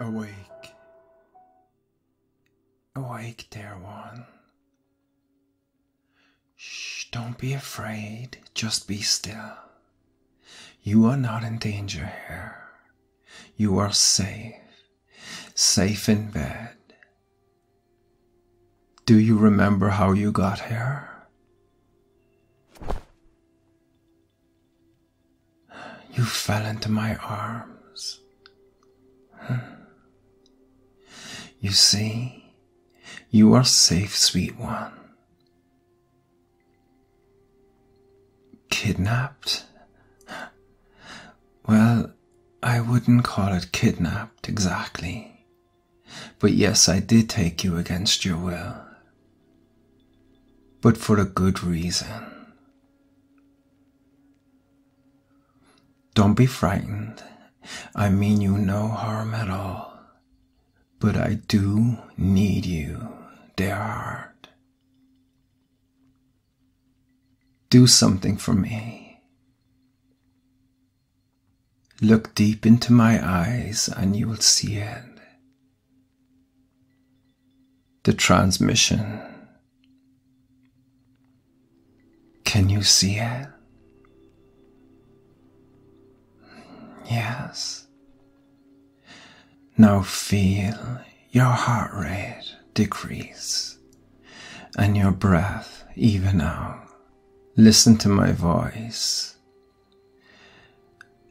Awake, awake, dear one. Shh, don't be afraid. Just be still. You are not in danger here. You are safe. Safe in bed. Do you remember how you got here? You fell into my arms. Hmm. You see, you are safe, sweet one. Kidnapped? Well, I wouldn't call it kidnapped exactly. But yes, I did take you against your will. But for a good reason. Don't be frightened. I mean you no harm at all. But I do need you, dear heart. Do something for me. Look deep into my eyes and you will see it. The transmission can you see it? Yes. Now feel your heart rate decrease and your breath even out. Listen to my voice.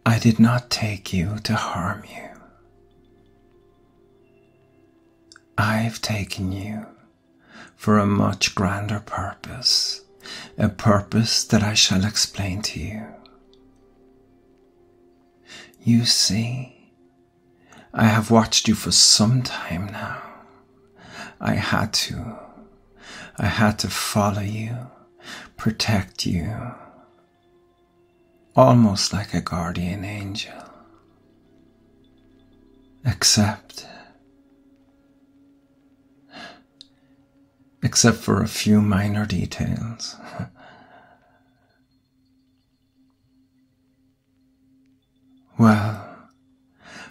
I did not take you to harm you. I've taken you for a much grander purpose, a purpose that I shall explain to you. You see, I have watched you for some time now. I had to. I had to follow you, protect you, almost like a guardian angel. Except. Except for a few minor details. well,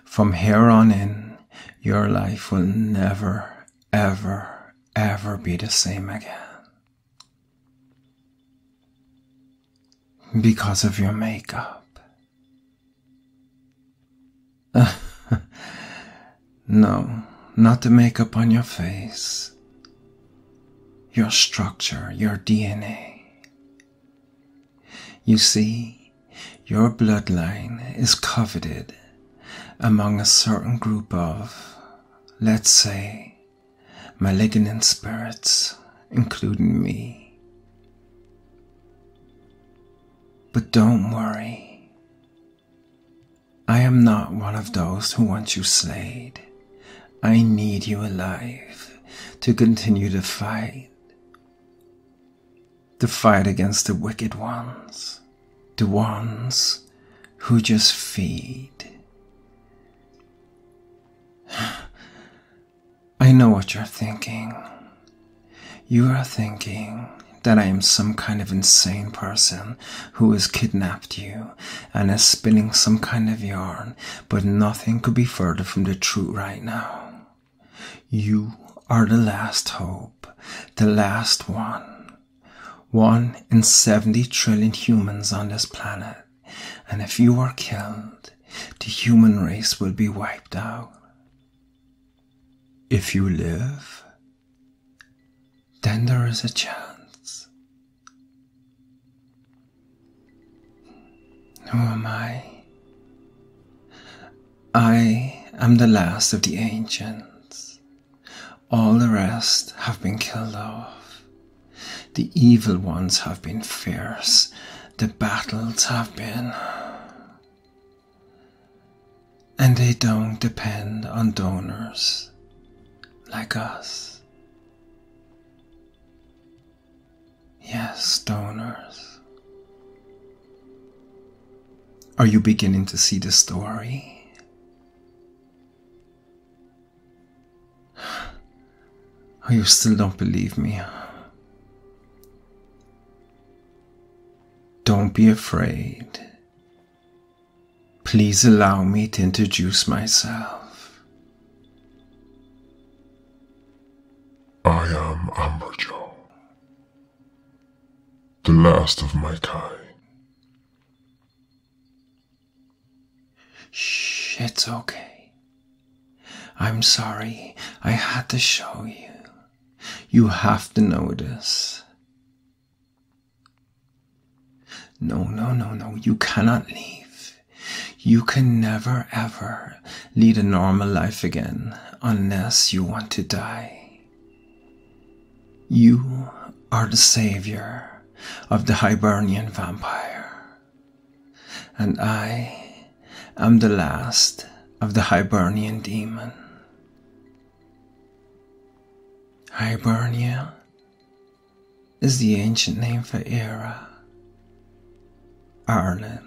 from here on in, your life will never, ever, ever be the same again. Because of your makeup. no, not the makeup on your face. Your structure, your DNA. You see, your bloodline is coveted among a certain group of, let's say, malignant spirits, including me. But don't worry. I am not one of those who want you slayed. I need you alive to continue the fight. The fight against the wicked ones. The ones who just feed. I know what you're thinking. You are thinking that I am some kind of insane person who has kidnapped you and is spinning some kind of yarn, but nothing could be further from the truth right now. You are the last hope, the last one. One in 70 trillion humans on this planet and if you are killed, the human race will be wiped out. If you live, then there is a chance. Who am I? I am the last of the ancients. All the rest have been killed off. The evil ones have been fierce, the battles have been. And they don't depend on donors like us. Yes, donors. Are you beginning to see the story? Oh, you still don't believe me. Don't be afraid. Please allow me to introduce myself. I am Amber Amberjo, the last of my kind. Shh, it's okay. I'm sorry, I had to show you. You have to know this. No, no, no, no, you cannot leave. You can never ever lead a normal life again unless you want to die. You are the savior of the Hibernian vampire. And I am the last of the Hibernian demon. Hibernia is the ancient name for Era, Ireland,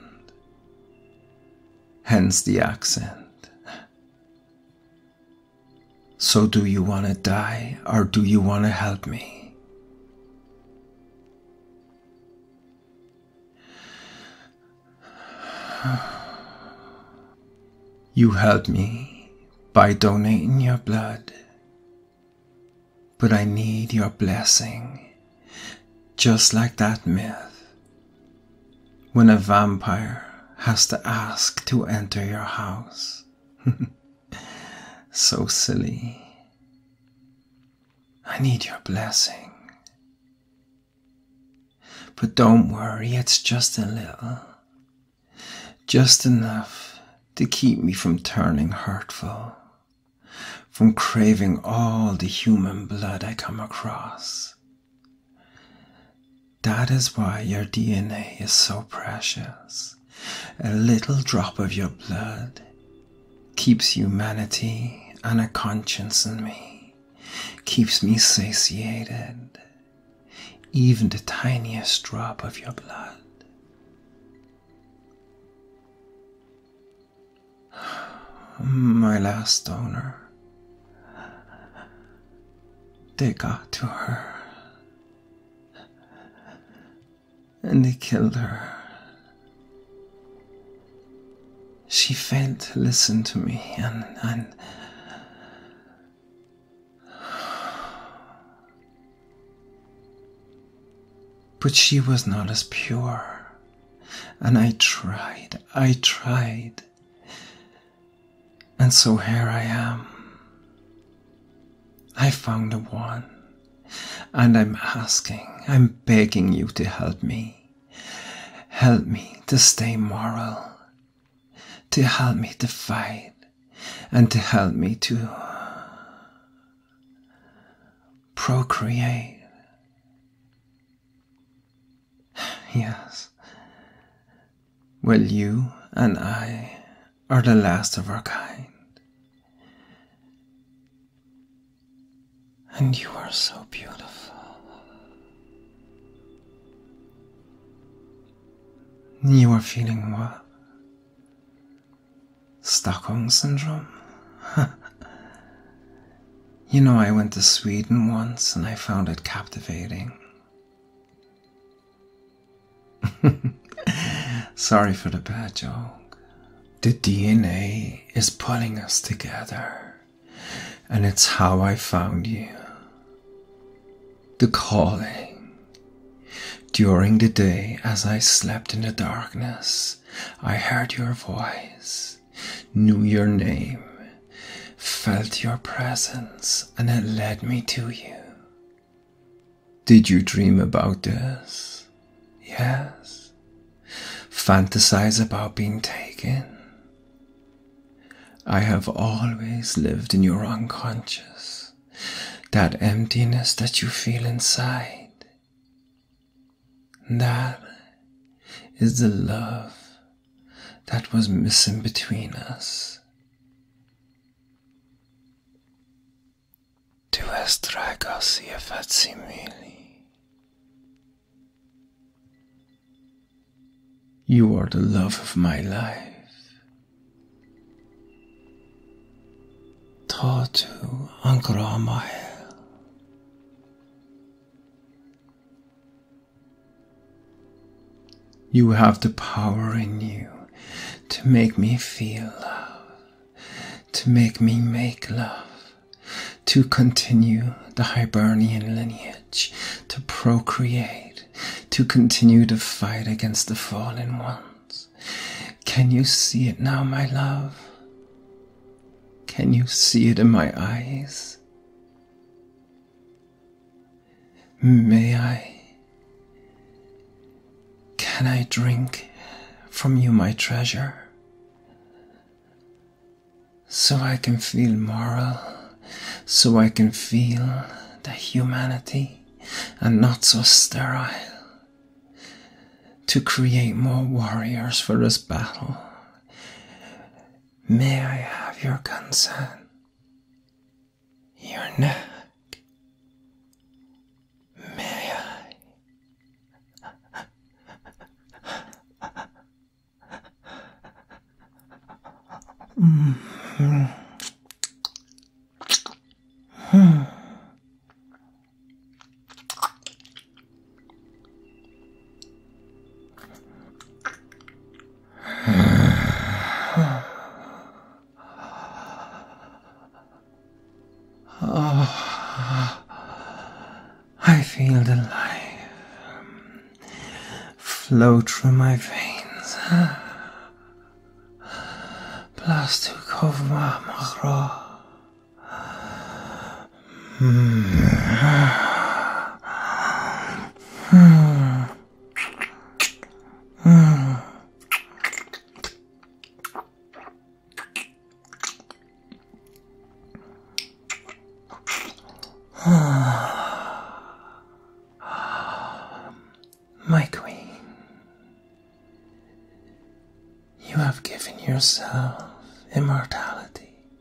hence the accent. So, do you want to die or do you want to help me? You help me by donating your blood, but I need your blessing, just like that myth. When a vampire has to ask to enter your house. So silly. I need your blessing. But don't worry, it's just a little. Just enough to keep me from turning hurtful, from craving all the human blood I come across. That is why your DNA is so precious. A little drop of your blood keeps humanity and a conscience in me, keeps me satiated, even the tiniest drop of your blood. My last donor, they got to her and they killed her. She failed to listen to me and, and But she was not as pure. And I tried, I tried. And so here I am. I found the one. And I'm asking, I'm begging you to help me. Help me to stay moral. To help me to fight. And to help me to procreate. Yes, well, you and I are the last of our kind. And you are so beautiful. You are feeling what? Stockholm Syndrome? you know, I went to Sweden once and I found it captivating. Sorry for the bad joke. The DNA is pulling us together, and it's how I found you. The calling. During the day, as I slept in the darkness, I heard your voice, knew your name, felt your presence, and it led me to you. Did you dream about this? Yes. Fantasize about being taken? I have always lived in your unconscious, that emptiness that you feel inside. That is the love that was missing between us. Du hast tragos ihr facsimile. You are the love of my life. Tatu Ankramael. You have the power in you to make me feel love, to make me make love, to continue the Hibernian lineage, to procreate, to continue to fight against the fallen ones. Can you see it now, my love? Can you see it in my eyes? May I? Can I drink from you my treasure? So I can feel moral, so I can feel the humanity and not so sterile. To create more warriors for this battle May I have your consent? Your neck? May I? -hmm. Hmm oh, I feel the life flow through my veins. Plastukov Mahro. My queen, you have given yourself immortality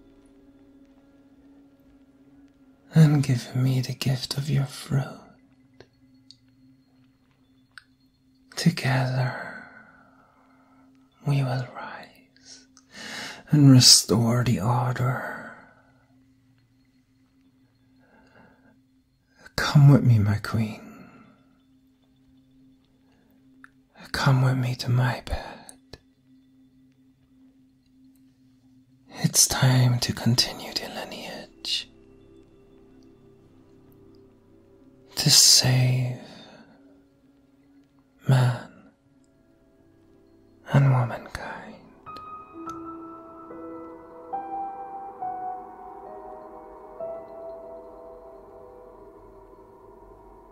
and give me the gift of your fruit. Together we will rise and restore the order. Come with me, my queen. Come with me to my bed. It's time to continue the lineage. To save man and womankind.